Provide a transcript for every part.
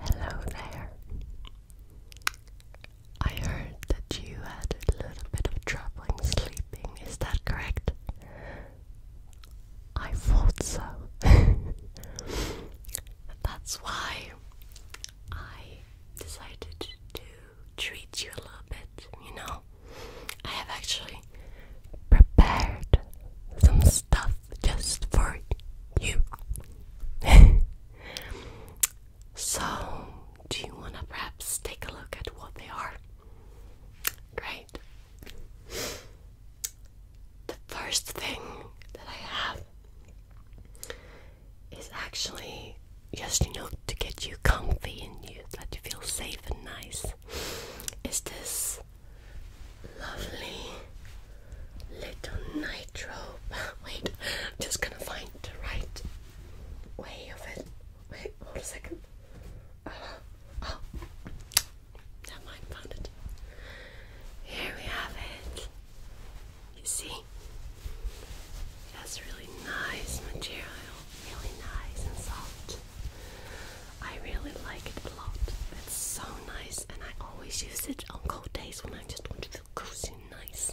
Hello there. I heard that you had a little bit of troubling sleeping, is that correct? I thought so. That's why I decided to treat you a little bit, you know. I have actually prepared some stuff just for you. so, do you want to perhaps take a look at what they are? Great. The first thing that I have is actually just enough to get you comfy and you that you feel safe and nice. Is this lovely little nitro. Wait, I'm just gonna find the right way of it. Wait, hold a second. Uh, oh, never mind, found it. Here we have it. You see, it has really nice material, really nice and soft. I really like it a lot. It's so nice, and I always use it on cold days when I just want to feel cozy and nice.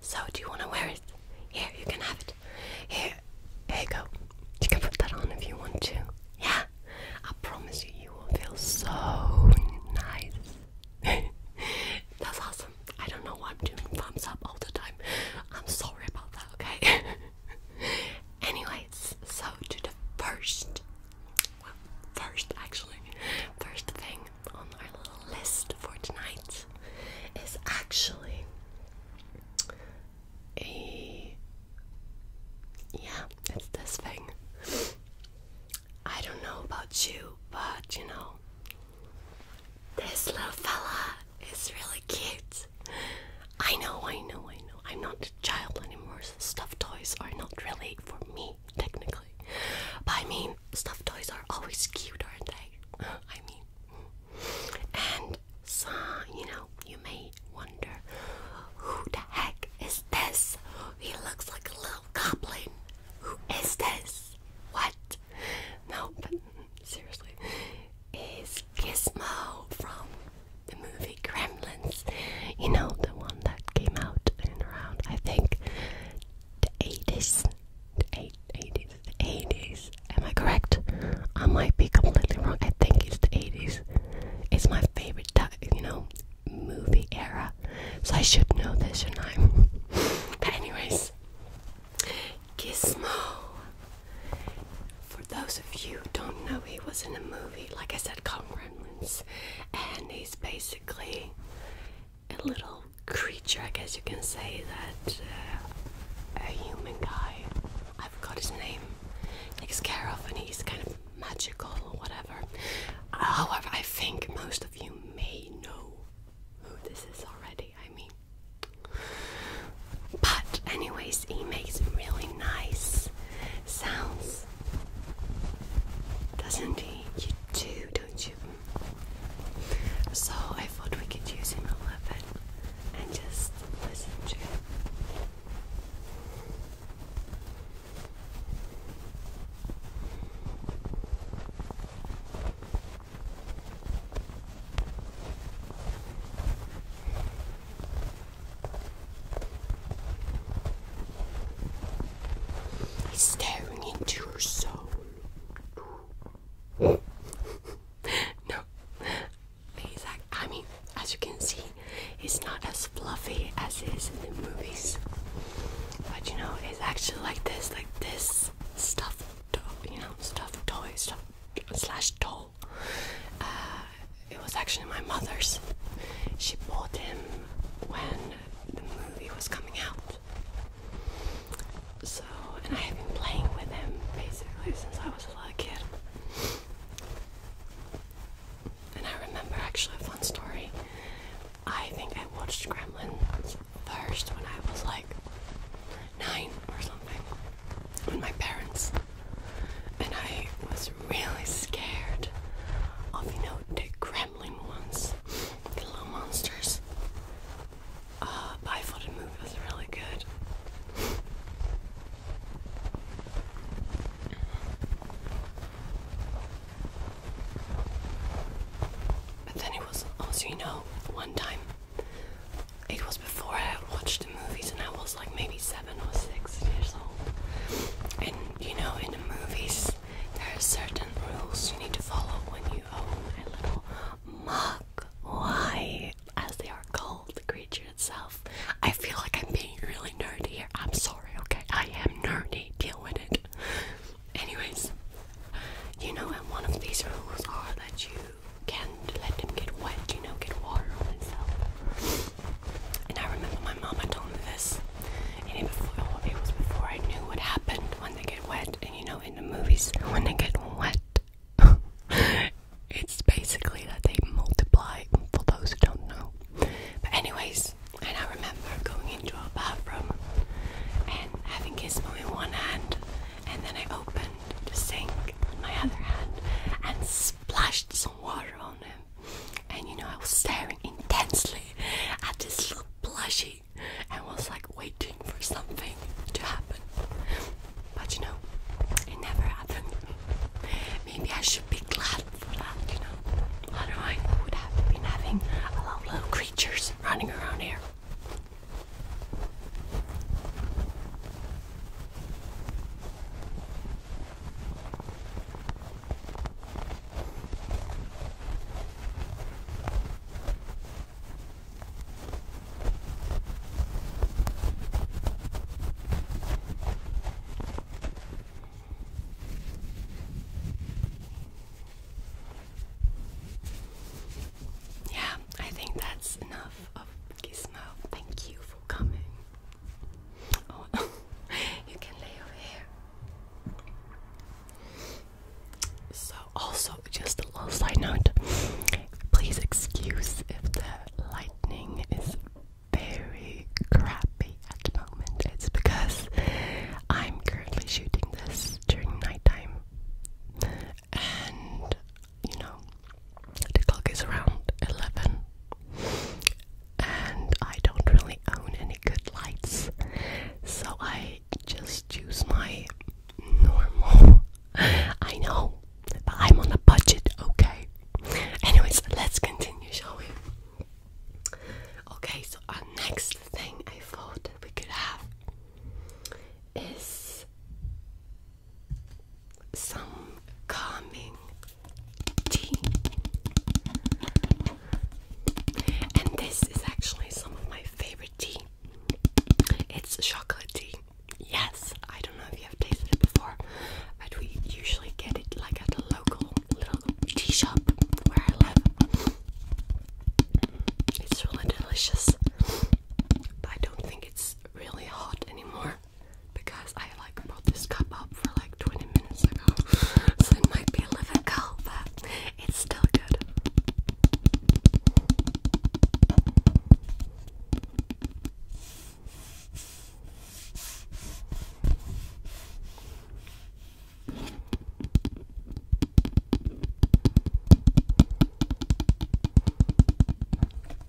So, do you want to wear it? Here, you can have it. Here, here you go. You can put that on if you want to. Yeah, I promise you, you will feel so nice. That's awesome. I don't know why I'm doing thumbs up all the time. I'm sorry about that, okay? Anyways, so to the first, well, first actually, first thing on our little list for tonight is actually a. Yeah, it's this thing. I don't know about you, but you know, this little fella is really cute. I know, I know, I know. I'm not a child anymore, stuffed toys are not really for me, technically. But I mean, stuffed toys are always cute, aren't they? I mean, and so, you know, you may wonder who the heck is this? He looks like a little goblin. Who is this? What? No, but mm, mm, seriously, is Gizmo from the movie Gremlins. You know, the one that came out in around, I think, the 80s. The eight, The 80s. Am I correct? I might be completely wrong. I think it's the 80s. It's my favorite, you know, movie era. So I should know this, shouldn't I? but anyways, Gizmo for those of you who don't know, he was in a movie, like I said, called and he's basically a little creature, I guess you can say, that uh, a human guy, I forgot his name, takes care of, and he's kind of magical or whatever. However, I think most of you may know who this is already, I mean. But, anyways, he makes really nice sounds, doesn't he? You do, don't you? So I thought we could use him a little bit and just listen to He's staring into your soul. no, he's like, I mean, as you can see, it's not as fluffy as it is in the movies. But you know, it's actually like this, like this stuff, you know, stuff toy, stuff slash toy. Uh, it was actually my mother's. She bought him when the movie was coming out. So, and I have been playing with him basically since I was a little kid. And I remember actually a fun story. I think I watched Gremlins first when I was like nine or something. with my parents and I was really scared of you know the gremlin ones, the little monsters. Uh, but movie was really good. But then it was also, you know, one time, it was before I watched the movies, and I was like maybe seven or six years old. And you know, in the movies, there are certain rules you need to follow when you own a little mug. Why? As they are called, the creature itself. I feel like I'm being really nerdy here. I'm sorry, okay? I am nerdy. Deal with it. Anyways, you know, and one of these rules are that you can't let them get wet, you know, get water on itself. And I remember my mama told me this, and it, before, oh, it was before I knew what happened when they get wet. And you know, in the movies, when they get wet, it's basically that they multiply. For those who don't know, but anyways, and I remember going into our bathroom and having Gizmo in one hand, and then I opened the sink with my other hand and splashed some water on and you know I was staring intensely at this little plushie and was like waiting for something to happen. But you know, it never happened. Maybe I should be glad for that, you know. I don't know. I would have been having a lot of little creatures running around here. Yeah, I think that's enough of Gizmo. Thank you for coming. you can lay over here. So, also, just a little side note please excuse if the lighting is very crappy at the moment. It's because I'm currently shooting this during nighttime and you know, the clock is around 11 and I don't really own any good lights, so I just use my normal. I know, but I'm on a budget, okay? Anyways, let's continue, shall we? Okay, so our next thing I thought that we could have is some calming tea. And this is actually some of my favorite tea. It's chocolate tea. Yes, I don't know if you have tasted it before, but we usually get it like at a local little tea shop where I live. It's really delicious, but I don't think it's really hot anymore because I like brought this cup up for like 20 minutes ago, so it might be a little cold, but it's still good.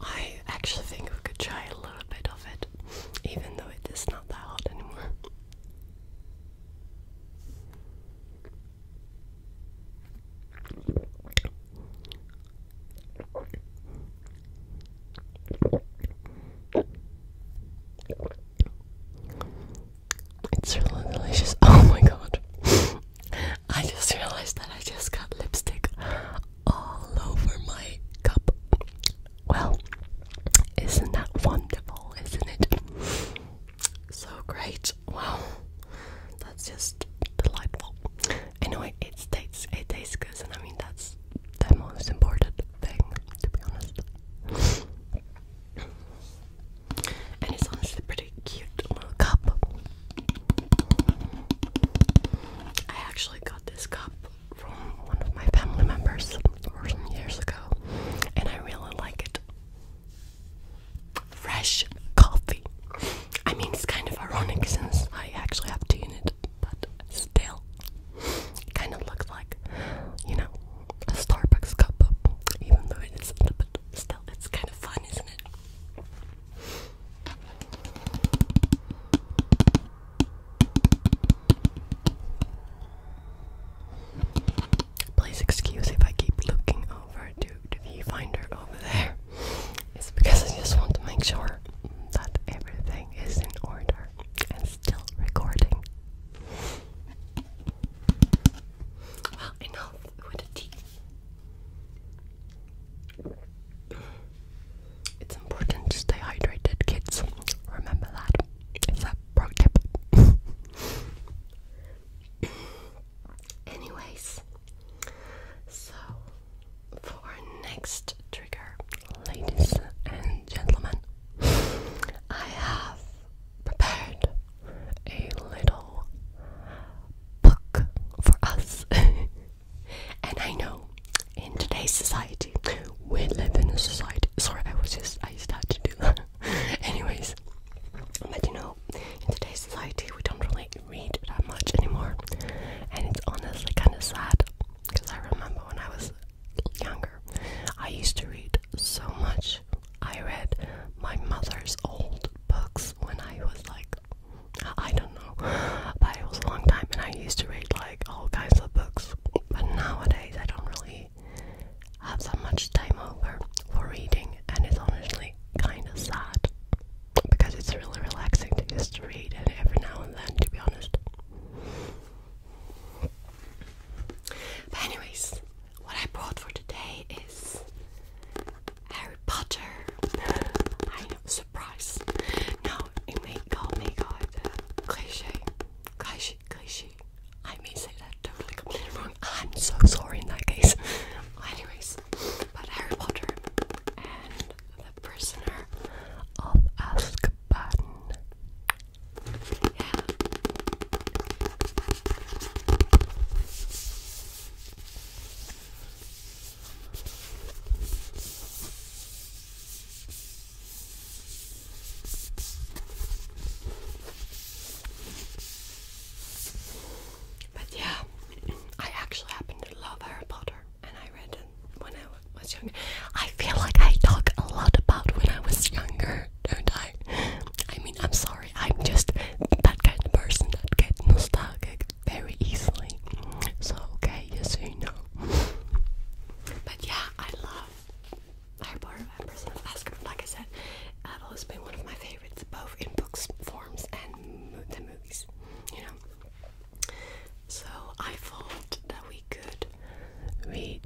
I actually think we could try a little bit of it, even though it is not that hot anymore. It's really delicious. Oh my god. I just realized that I just got lipstick all over my cup. Well, isn't that wonderful, isn't it? So great. Wow. That's just delightful. Anyway, it tastes it tastes good and I mean that's the most important thing to be honest and it's honestly pretty cute little cup. I actually got this cup from one of my family members some years ago, and I really like it. Fresh coffee. I mean, it's kind of ironic since I actually have tea in it, but still, it kind of looks like, you know, a Starbucks cup, even though it isn't, still, it's kind of fun, isn't it? Please excuse if I keep looking over to the viewfinder over there. It's because I just want to make sure that everything is in order and still recording. Well, enough with the tea. It's important to stay hydrated, kids. Remember that. pro tip. Anyways, so for next trigger, ladies and gentlemen, I have prepared a little book for us. and I know in today's society, we live in a society. Sorry, I was just, I started to do that. Anyways, but you know, in today's society, we don't really read that much anymore. And it's honestly kind of sad because I remember when I was younger, I used to read so much. I read my mother's old books when I was like, I don't know, but it was a long time, and I used to read like all kinds of books. But nowadays, I don't really have that much time over for reading, and it's honestly kind of sad because it's really relaxing to just read and every now and then, to be honest. But anyways, what I brought for today is Harry Potter. I know, surprise. No, it may go, may cliche, cliche, cliche. I may say that totally completely wrong. I'm so sorry in that case. anyways, but Harry Potter and the Prisoner of Azkaban. Yeah. But yeah, I actually happen to love Harry Potter and I read it when I was younger. I feel like I talk a lot about when I was younger, don't I? I, mean, I'm sorry, I'm just that kind of person that gets nostalgic very easily. So, okay, you so you know. But yeah, I love Harry of Empress and Oscar. Like I said, it's always been one of my favorites, both in books, forms, and the movies, you know. So I thought that we could read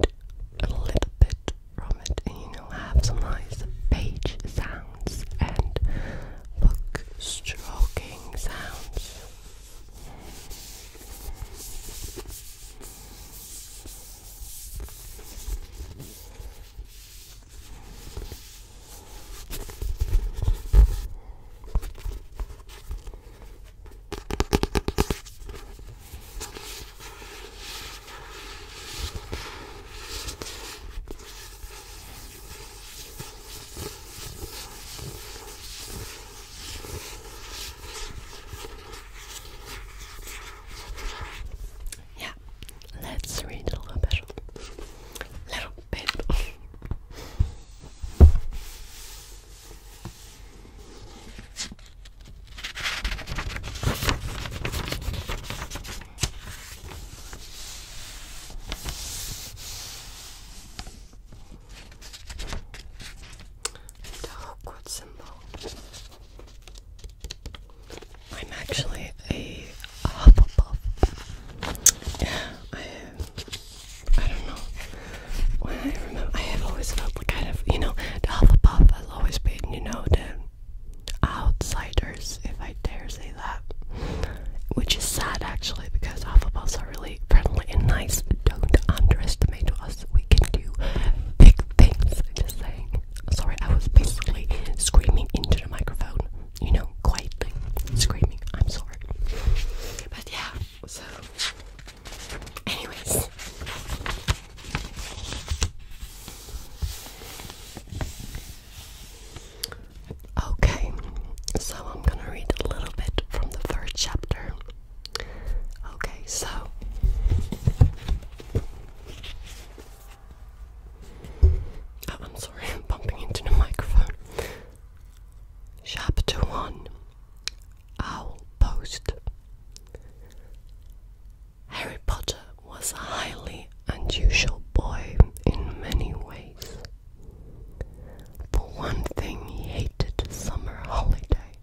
a little bit from it and you will have some nice page sounds and book stroking sounds. Yeah, let's read a little bit. Little bit. I'm actually a Hufflepuff. Yeah, I I don't know. When I remember, I have always felt like I have, you know, the Hufflepuff always been, you know, the outsiders, if I dare say that. Which is sad actually because half of us are really friendly and nice. Don't underestimate us. We can do big things. Just saying. Sorry, I was basically screaming into the microphone. You know, quietly screaming. I'm sorry. But yeah, so Anyways. Okay, so I'm gonna read a little bit from the first chapter. Okay, so. Oh, I'm sorry, I'm bumping into the microphone. Chapter 1 Owl Post. Harry Potter was a highly unusual boy in many ways. For one thing, he hated the summer holiday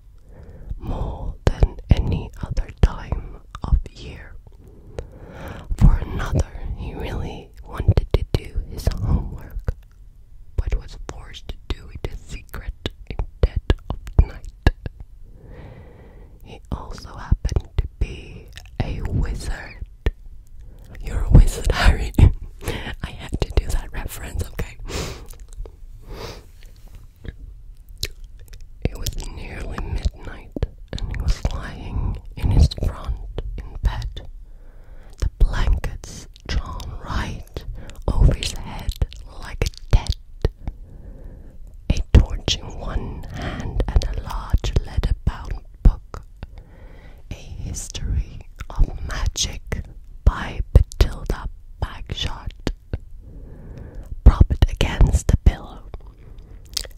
more than any other time of year. For another, he really wanted to do his homework, but was forced to do it in secret in dead of night. He also happened to be a wizard. You're a wizard, Harry. I had to do that reference, okay? It was nearly midnight, and he was lying in his front in bed. The blankets drawn right over his head like a dead, A torch in one hand and a large leather bound book. A History of Magic by Matilda Bagshot. Propped against the pillow,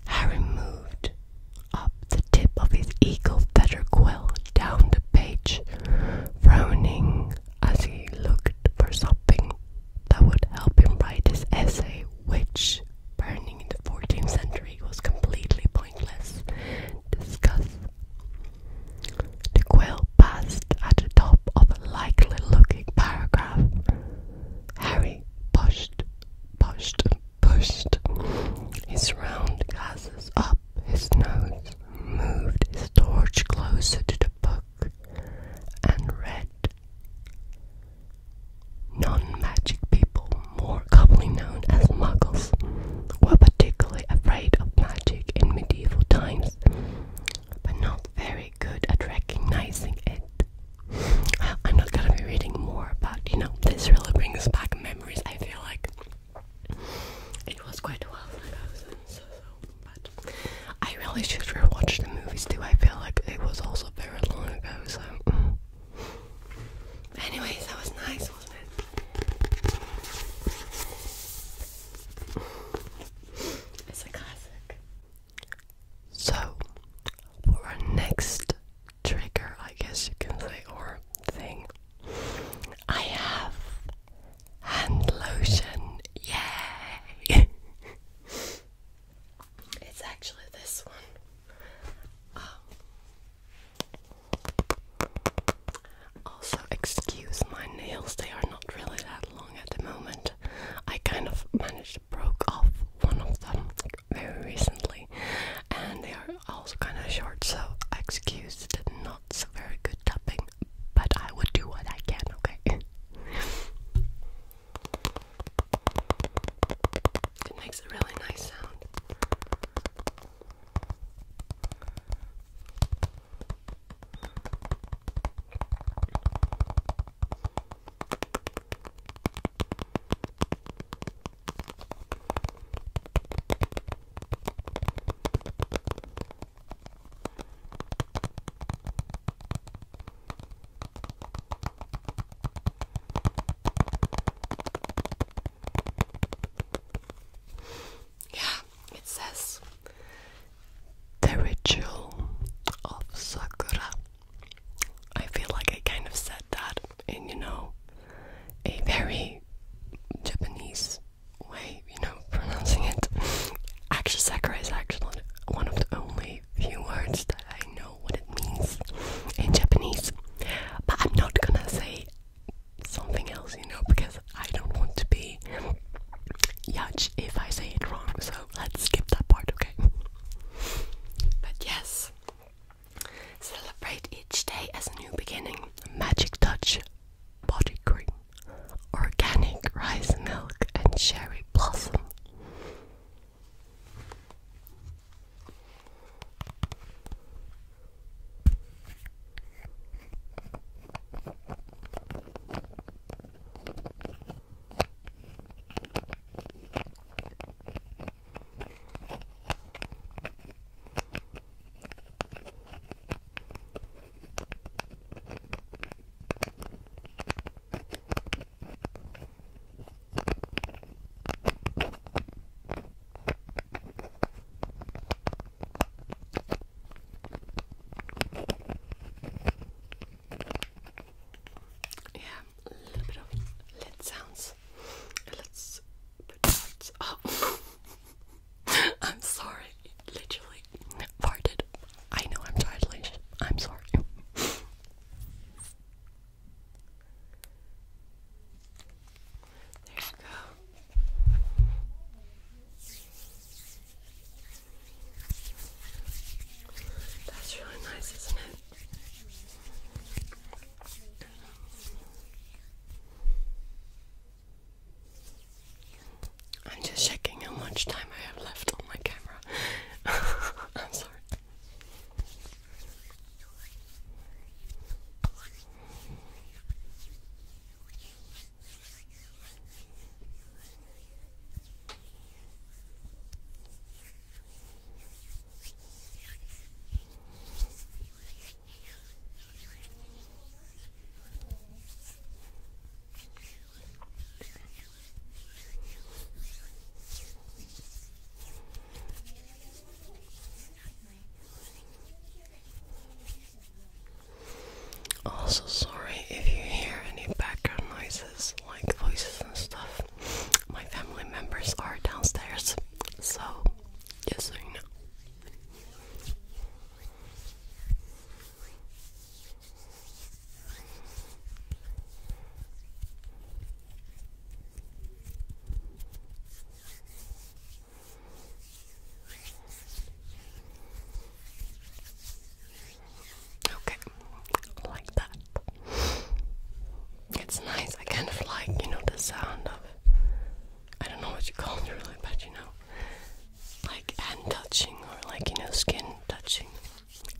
Harry moved up the tip of his eagle feather quill down the page, frowning as he looked for something that would help him write his essay, which, burning in the 14th century, was completely pointless. Discuss. The quill passed at the top of a likely looking paragraph. Harry pushed, pushed, pushed his round glasses up his nose, moved his torch closer to the book, and red. Non-magic people, more commonly known as muggles, were particularly afraid of magic in medieval times, but not very good at recognizing it. I'm not gonna be reading more, but you know, this really brings back memories. I feel like it was quite a while ago, so so I really should rewatch the movies too. I feel like it was also very long ago, so. Mm. Anyways, that was nice, wasn't it? It's a classic. So, for our next trigger, I guess you can say, or thing, I have hand lotion. Yay! it's actually this one. Um, also, excuse my nails, they are not really that long at the moment. I kind of managed to broke off one of them very recently, and they are also kind of short, so excuse the not so very good tapping but I would do what I can, okay? it makes a really nice sound. Yeah, it says the ritual of Sakura. I feel like I kind of said that in, you know, a very Japanese way, you know, pronouncing it. Akshasakura is actually one of the only few words that I know what it means in Japanese. But I'm not gonna say something else, you know, because I don't want to be judged if I say it wrong. So let's skip that part, okay? But yes, celebrate each day as a new beginning. Magic touch body cream, organic rice milk, and cherry blossom. Yeah, a little bit of lid sounds. Let's put out. Oh. I'm sorry. Literally farted. I know I'm childish. I'm sorry. There you go. That's really nice, isn't it? I'm just checking how much time I have left on my camera. I'm sorry. Also, sorry if you hear any background noises like voices and stuff. My family members are downstairs, so just so know. Okay, like that. It's nice. I kind of like, you know, the sound of I don't know what you call it really, but you know, like hand touching or like you know skin touching.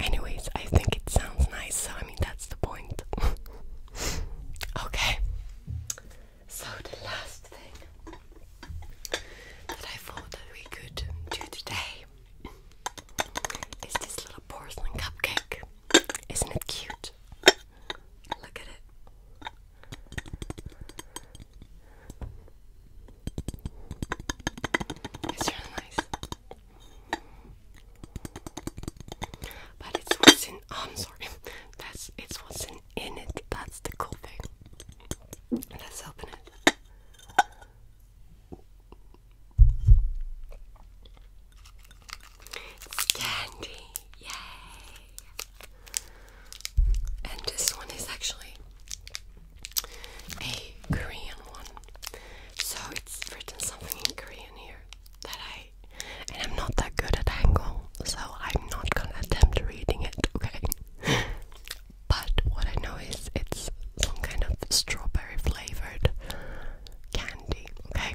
Anyways, I think it sounds nice, so I mean that's the point. okay. So the last thing that I thought that we could do today is this little porcelain cupcake. Isn't it cute? Look at it. It's really nice. But it's what's in oh, I'm sorry. That's it's what's in in it. That's the cool thing. Let's open it. candy. Yay. And this one is actually a Korean one. So it's written something in Korean here that I and I'm not that good at Hangul, so I'm not gonna attempt reading it, okay? But what I know is it's some kind of strawberry flavored candy, okay?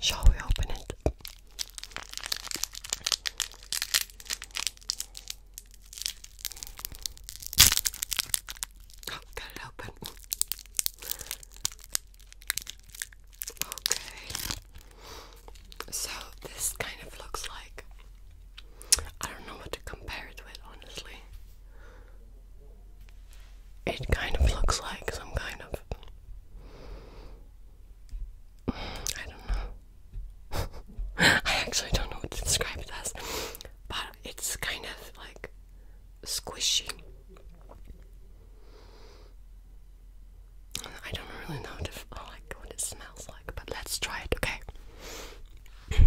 Shall we open it? Oh, okay. So this kind of looks like I don't know what to compare it with honestly. It kind of looks like some kind of. I don't know. I actually don't know what to describe it but it's kind of like squishy. I don't really know what it smells like, but let's try it, okay?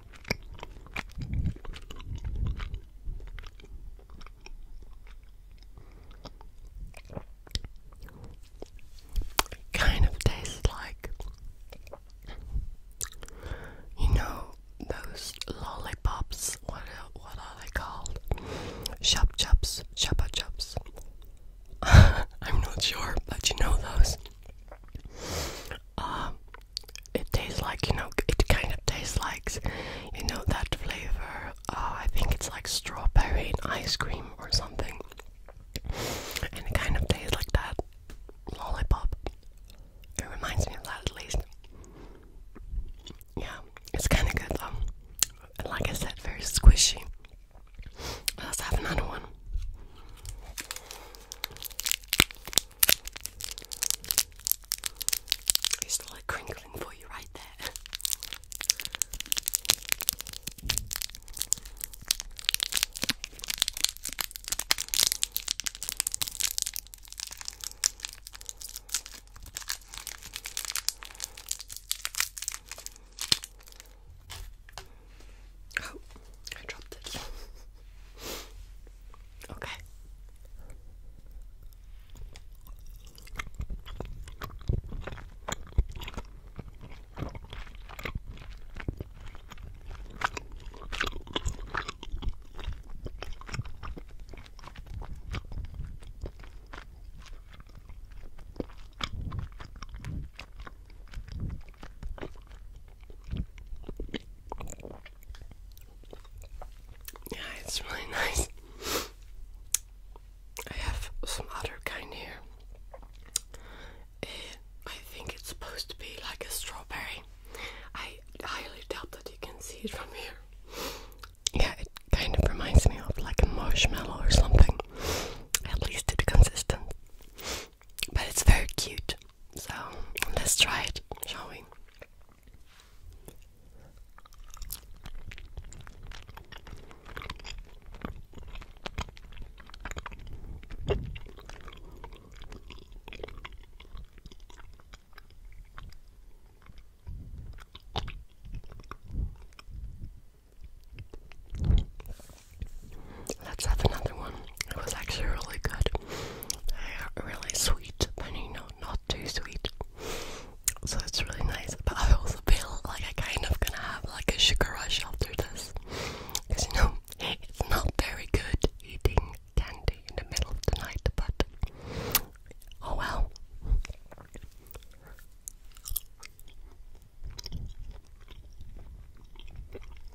It kind of tastes like you know those lollipops. What what are they called? Shop chups. shoppa chups. I'm not sure, but you know those. Uh, it tastes like you know it kind of tastes like you know that flavor uh, i think it's like strawberry ice cream or something and it kind of tastes like that lollipop it reminds me of that at least yeah it's kind of good though like i said very squishy let's have another one it's still like crinkling for you right there. Oh, I dropped it. okay. Yeah, it's really nice. I have some other kind here. I think it's supposed to be like a strawberry. I highly doubt that you can see it from here. Yeah, it kind of reminds me of like a marshmallow or something. At least it's consistent. But it's very cute. So let's try it, shall we? Let's have another one. It was actually really good. Really sweet, but you know, not too sweet. So it's really nice. But I also feel like I kind of gonna have like a sugar rush after this. Because you know, it's not very good eating candy in the middle of the night, but oh well.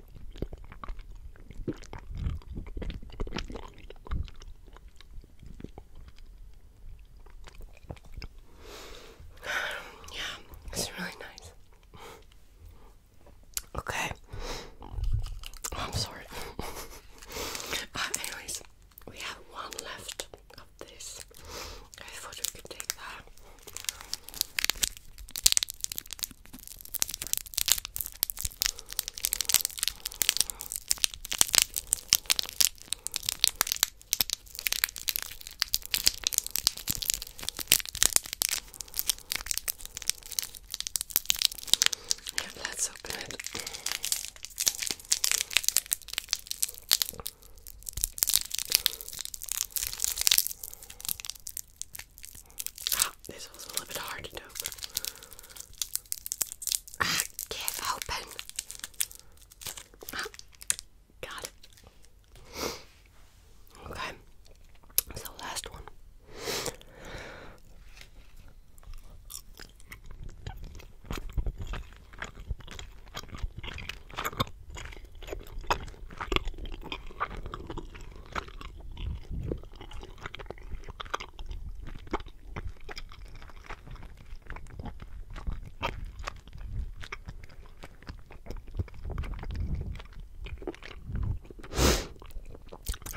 yeah, it's really nice. Okay. Oh, I'm sorry. anyways, we have one left of this. I thought we could take that. Yeah, let's open it. Ah, this was a little bit hard to do. give open. Ah, Okay, so last one.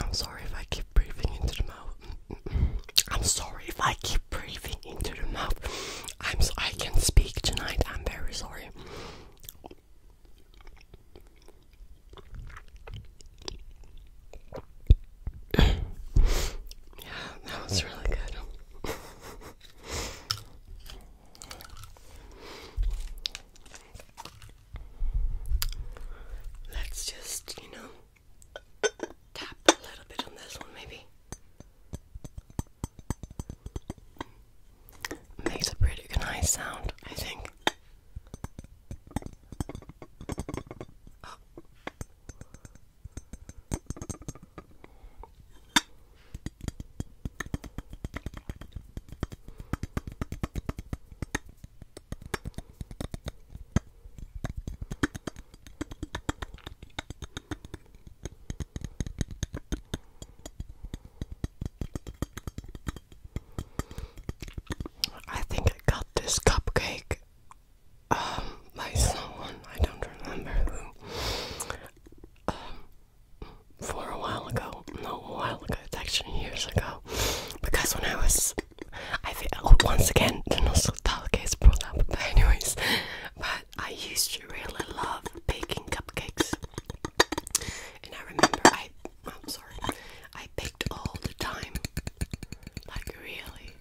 I'm sorry if I keep breathing into the mouth. I'm sorry if I keep breathing into the mouth. I'm so I can speak tonight. I'm very sorry yeah, that was really good. Let's just, you know, tap a little bit on this one, maybe. Makes a pretty nice sound, I think. I think I got this cupcake um by someone I don't remember um for a while ago no a while ago it's actually years ago because when I was I oh, once again the nostalgia is brought up but anyways but I used to really love baking cupcakes and I remember I I'm sorry I picked all the time like really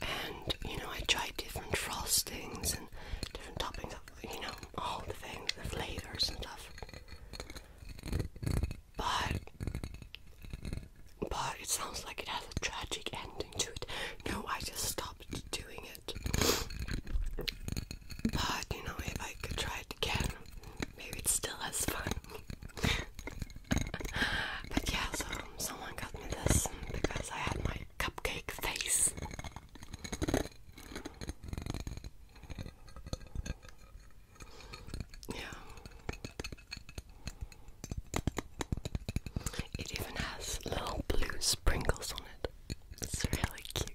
and you know I tried different frostings and different toppings you know all the things the flavors and stuff but but it sounds like it has a tragic ending to it no I just stopped doing it. But you know, if I could try it again, maybe it's still as fun. but yeah, so someone got me this because I had my cupcake face. Yeah. It even has little blue sprinkles on it. It's really cute.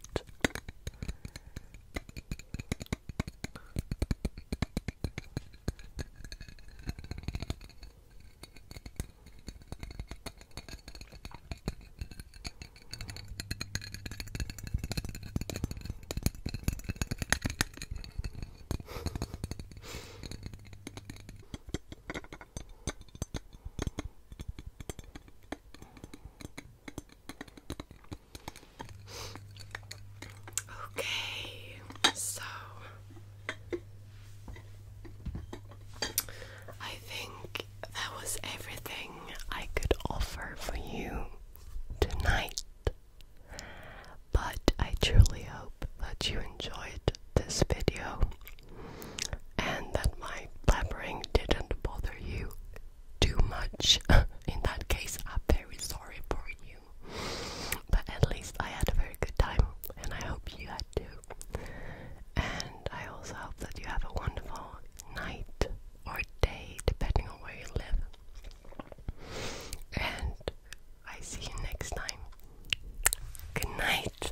Okay, so I think that was everything I could offer for you tonight. But I truly hope that you enjoyed this video and that my blabbering didn't bother you too much. In that case, I'm very sorry for you. But at least I had a very good time, and I hope you had too. And I also hope that you have a wonderful night or day, depending on where you live. And I see you next time. Good night.